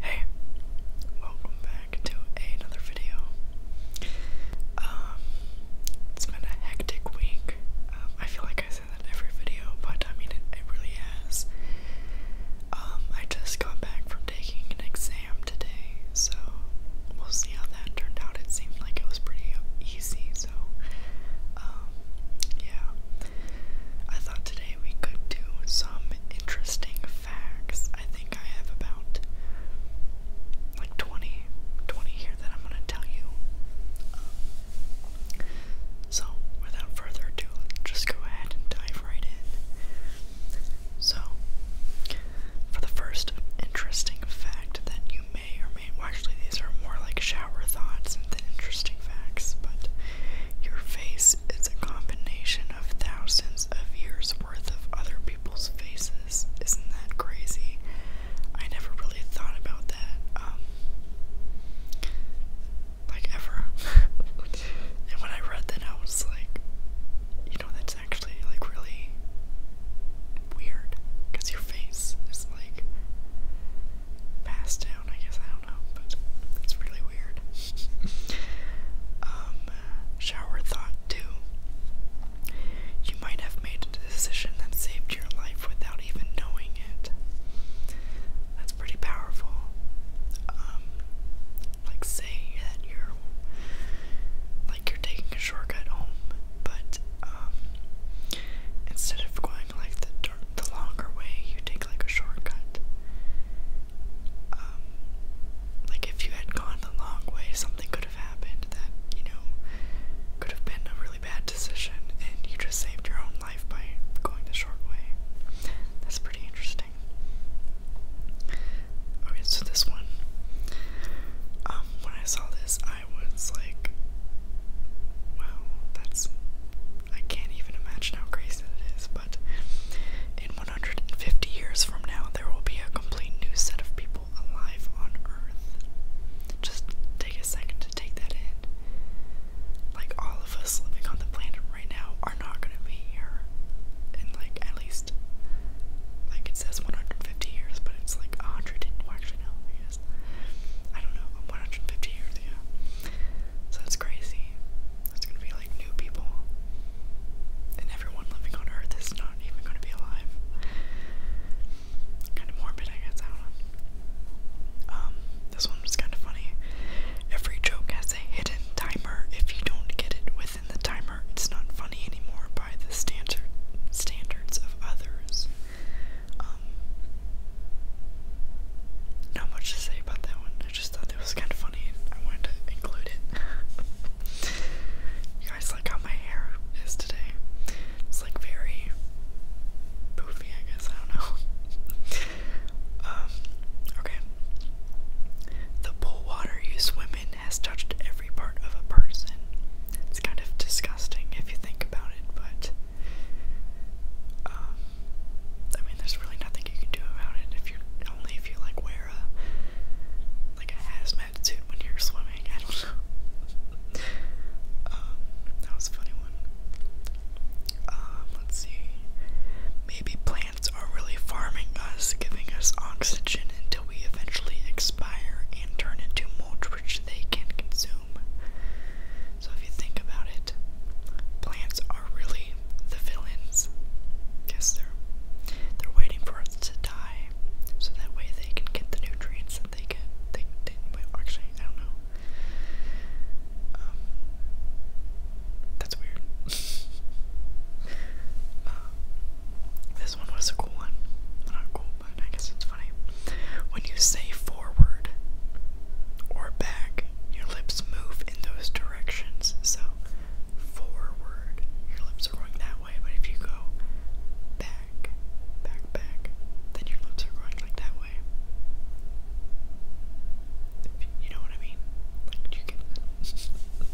Hey, welcome back to another video. Um, it's been a hectic week. Um, I feel like I say that every video, but I mean it, it really has. Um, I just got back from taking an exam today, so we'll see how that turned out. It seemed like it was pretty easy, so yeah. I thought today we could do some interesting facts. I think I have about like 20, here that I'm gonna tell you. so, without further ado, just go ahead and dive right in. So, for the first interesting fact that you may or may, actually, these are more like shower thoughts than interesting facts, but your face is a combination of thousands of years worth of other people's faces. Isn't that crazy? I never really thought about that. Um, like ever. and when I read that I was like, you know, that's actually like really weird. Because your face is like past I guess. I don't know, but it's really weird. Um, shower thought two. You might have made a decision that saved your life without even knowing it. That's pretty powerful. Um, like say that you're like you're taking a shortcut home, but um, instead of going like the the longer way, you take like a shortcut. Um, like if you had gone the long way, something could have happened that you know could have been a really bad decision, and you just saved your own life by going the short way. That's pretty interesting. Okay, so this one, um, when I saw this, I was like, wow, that's. I can't even imagine how crazy it is, but in 150 years from now, there will be a complete new set of people alive on Earth. Just take a second to take that in. Like, all of us living on the planet right now are not gonna be here in, like, at least, like, it says 150 years, but it's like 100, well, actually, no, I I don't know, 150 years, yeah. So that's crazy. That's gonna be like new people. And everyone living on Earth is not even gonna be alive. kind of morbid, I guess, Um, this one was kind of funny. Every joke has a hidden timer. If you don't get it within the timer, it's not funny anymore by the standard standards of others. Um, not much to say about that one. I just thought it was kind of funny and I wanted to include it. you guys like how my hair is today? It's like very poofy, I guess. I don't know. um, okay. The pool water you swim in has touched every part of a person. It's kind of disgusting if you think about it, but uh, I mean, there's really nothing you can do about it if you only if you like wear a like a hazmat suit when you're swimming. I don't know. Um, that was a funny one. Um, let's see. Maybe plants are really farming us, giving us oxygen until we eventually expire and turn into mulch, which they can consume. So if you think about it, plants are really the villains. Yes, they're they're waiting for us to die, so that way they can get the nutrients that they get. They didn't. Wait, actually, I don't know. Um, that's weird. Uh, this one was a cool one. Not cool, but I guess it's funny. When you say forward, or back, your lips move in those directions. So, forward, your lips are going that way, but if you go back, back, back, then your lips are going like that way. you know what I mean? Like,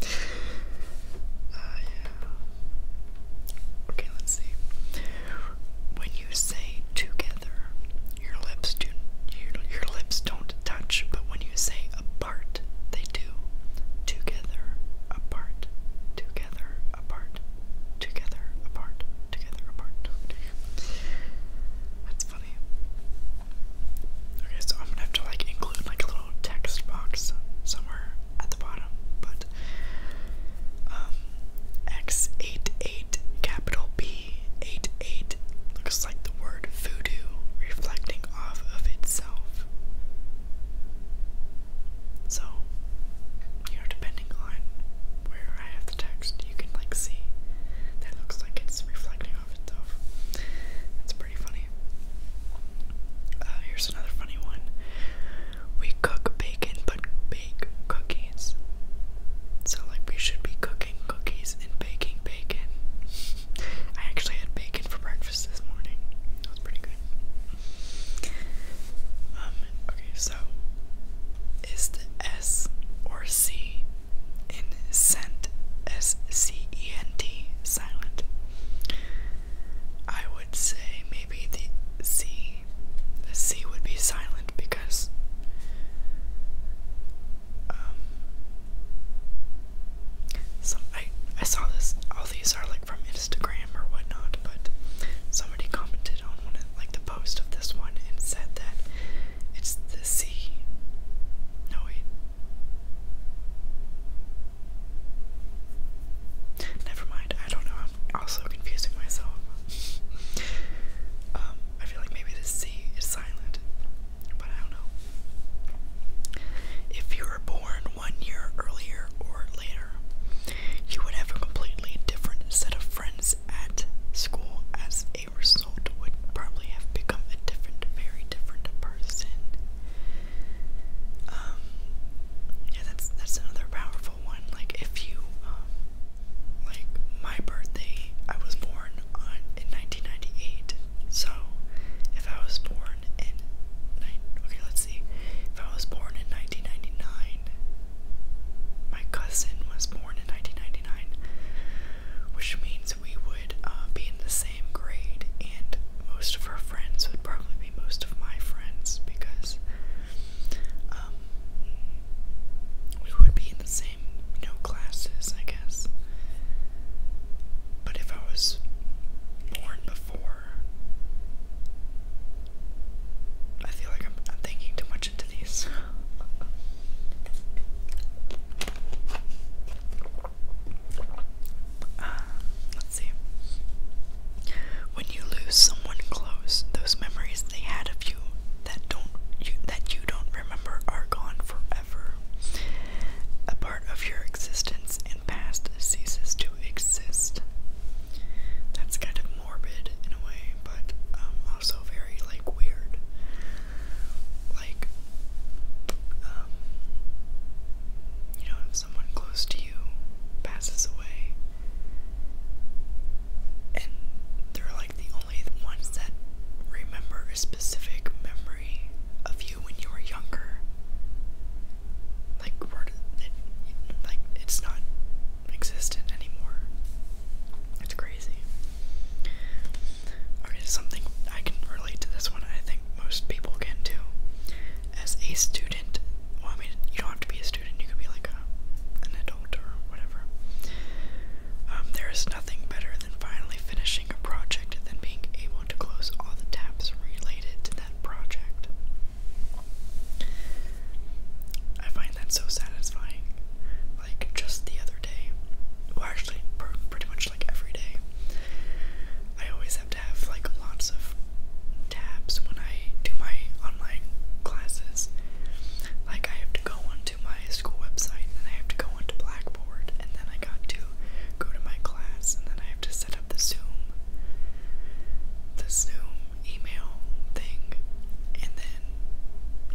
uh, yeah. Okay, let's see you say together, your lips do your, lips don't touch, but when you say apart, they do. Together, apart, together, apart, together, apart, together, apart. That's funny. Okay, so I'm gonna have to like include like a little text box somewhere at the bottom, but um, X eight eight capital B 388 looks like the word voodoo reflecting off of itself. So, you know, depending on where I have the text, you can like see that looks like it's reflecting off itself. That's pretty funny. Uh, here's another funny one. We cook bacon, but bake cookies. So, like, we should be cooking cookies and baking bacon. I actually had bacon for breakfast this morning. That was pretty good. Um, okay, so is the S or C in scent S C E N T silent? I would say maybe the C. The C would be silent because um, I I saw this. All these are like from Instagram or whatnot, but somebody commented on one of, like the post of this one and said that it's the sea. No wait. Never mind. I don't know. I'm also confusing myself. Um, I feel like maybe the sea is silent, but I don't know. If you were born one year earlier or later, you would have a completely different set of friends at school. As a result, would probably have become a different, very different person. Um, yeah, that's that's another powerful one. Like if you um, like my birthday, I was born on in 1998. So if I was born in okay, let's see. If I was born in 1999, my cousin was born in 1999, which means we would uh, be in the same grade, and most of our friends would probably be most of my friends because um, we would be in the same, classes, I guess. But if I was born before, I feel like I'm, thinking too much into these. Uh, let's see. When you lose someone close, those memories they had of that don't that you don't remember are gone forever. A part of your existence and past ceases to exist. That's kind of morbid in a way, but um, also very like weird. Like, um, you know, if someone close to you passes away, and they're like the only the ones that remember a specific memory of you when you were younger. Like, we like it's not existent anymore. It's crazy. Okay, something I can relate to this one. I think most people can too. As a student, I mean, you don't have to be a student. You could be like a, or whatever. Um, there is nothing better than finally finishing a project than being able to close all the tabs related to that project. I find that so satisfying. Like just the other day, well, actually, pretty much like every day, I always have to have like lots of tabs when I do my online classes. Like I have to go onto my school website and I have to go onto Blackboard and then I got to go to my class and then I have to set up the Zoom the Zoom email thing and then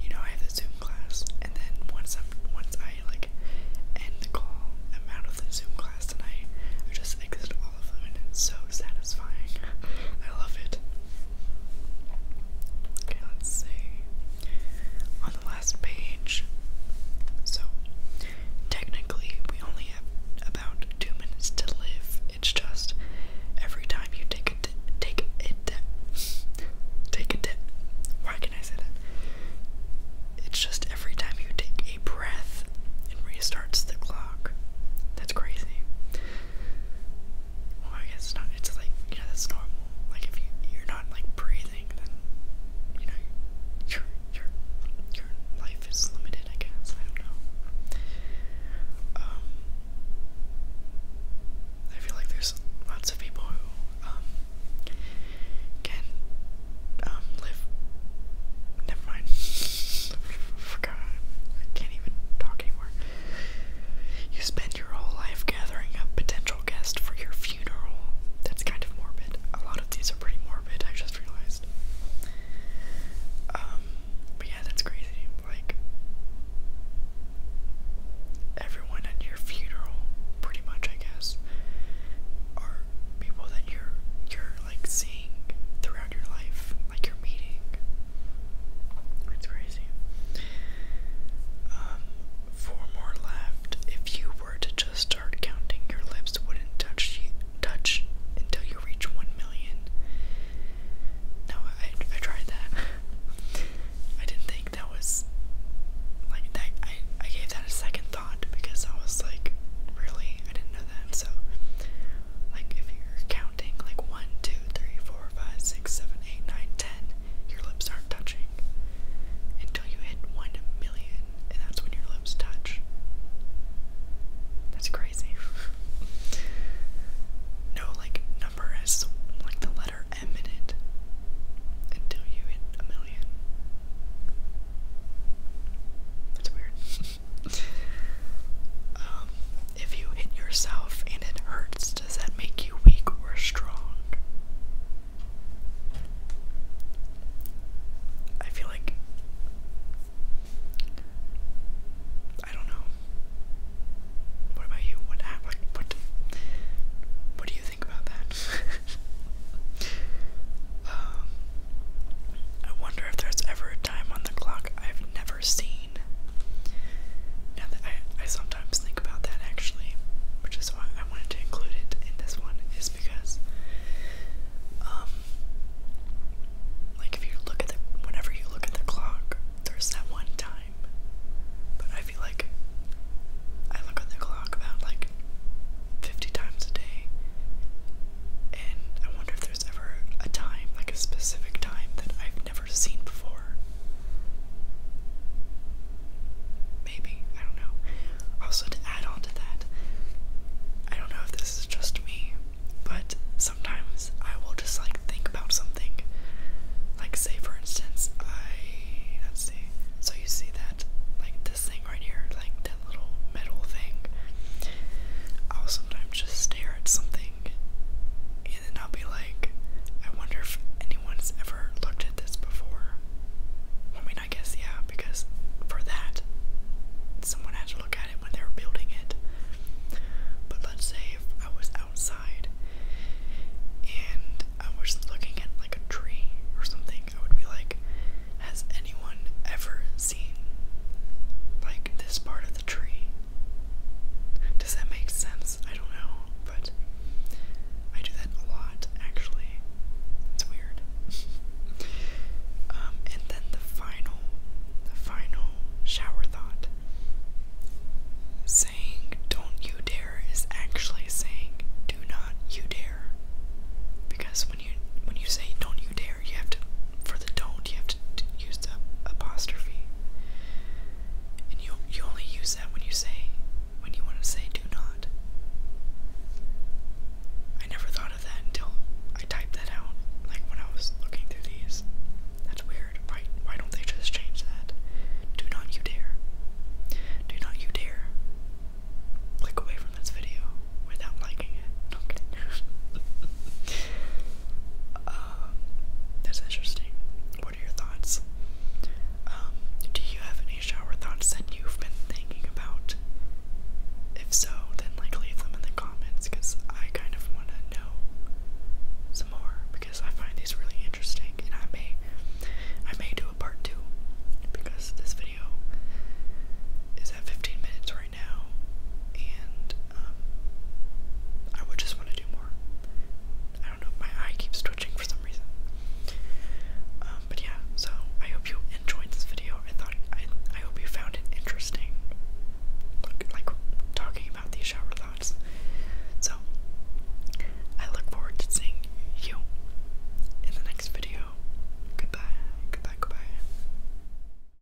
you know I have the Zoom class and then once I'm once I like end the call I'm out of the Zoom class and I, I just exit all of them and it's so satisfying. I love it. Okay, let's see. On the last page, so technically we only have about two minutes to live. It's just every time you take a take a di take a dip. Why can I say that? It's just every time you take a breath, it restarts the clock. That's crazy. Well, I guess it's not. It's like you know that's normal. Like if you you're not like breathing, then you know your your your life is limited. I guess I don't know. Um, I feel like there's lots of people who um can um live. Never mind. I forgot. I can't even talk anymore. You spend your whole life gathering up potential guests for your funeral. That's kind of morbid. A lot of these are pretty morbid, I just realized. Um, but yeah, that's crazy. Like, everyone at your funeral, pretty much, I guess, are people that you're you're like seeing throughout your life, like you're meeting, it's crazy. Um, four more left. If you were to just start counting, your lips wouldn't touch touch until you reach one million. No, I, I tried that. I didn't think that was like that. I I gave that a second thought because I was like, really, I didn't know that. So like if you're counting like 1, 2, 3, 4, 5, 6, 7, 8, 9, 10, your lips aren't touching until you hit 1 million, and that's when your lips touch. That's crazy. no, like, number has like the letter M in it until you hit a million. That's weird. Um, if you hit yourself and it hurts, does that make you weak or strong? I feel like. I don't know. What about you? What what what? What do you think about that? Um, I wonder if there's ever a time on the clock I've never seen. Now that I, sometimes think about that actually, which is why I wanted to include it in this one, is because, um, like if you look at the, whenever you look at the clock, there's that one time, but I feel like I look at the clock about like 50 times a day, and I wonder if there's ever a time, like a specific time, that I i never seen before. Maybe, I don't know. Also, to add on to that, I don't know if this is just me, but sometimes I will just like think about something. Like, say for instance, I. Let's see. So, you see that, like this thing right here, like that little metal thing. I'll sometimes just stare at something and I'll be like, I wonder if anyone's ever looked at this before. I mean, I guess, yeah, because for that, someone had to look at it when they were building it. But let's say if I was outside and I was looking at like a tree or something, I would be like, Has anyone ever like this part of the tree. Does that make sense? I don't know, but I do that a lot actually. It's weird. Um, and then the final, the final shower thought. Saying don't you dare is actually saying do not you dare. Because when you when you say don't you dare, you have to for the don't you have to use apostrophe. And you you only use that when you say when you want to say do not. I never thought of that until I typed that out, like when I was looking through these. That's weird. Why why don't they just change that? Do not you dare. Do not you dare click away from this video without liking it. Uh, that's interesting. What are your thoughts? Um, do you have any shower thoughts that you've been thinking about? If so, then like leave them in the comments because I kind of want to know some more because I find these really interesting and I may I may do a part two because this video is at 15 minutes right now, and um, I would just want to do more. I don't know, my eye keeps twitching for some reason. Um, but yeah, so I hope you enjoyed this video. I thought I I hope you found it interesting, like talking about these shower thoughts. So I look forward to seeing you in the next video. Goodbye, goodbye, goodbye.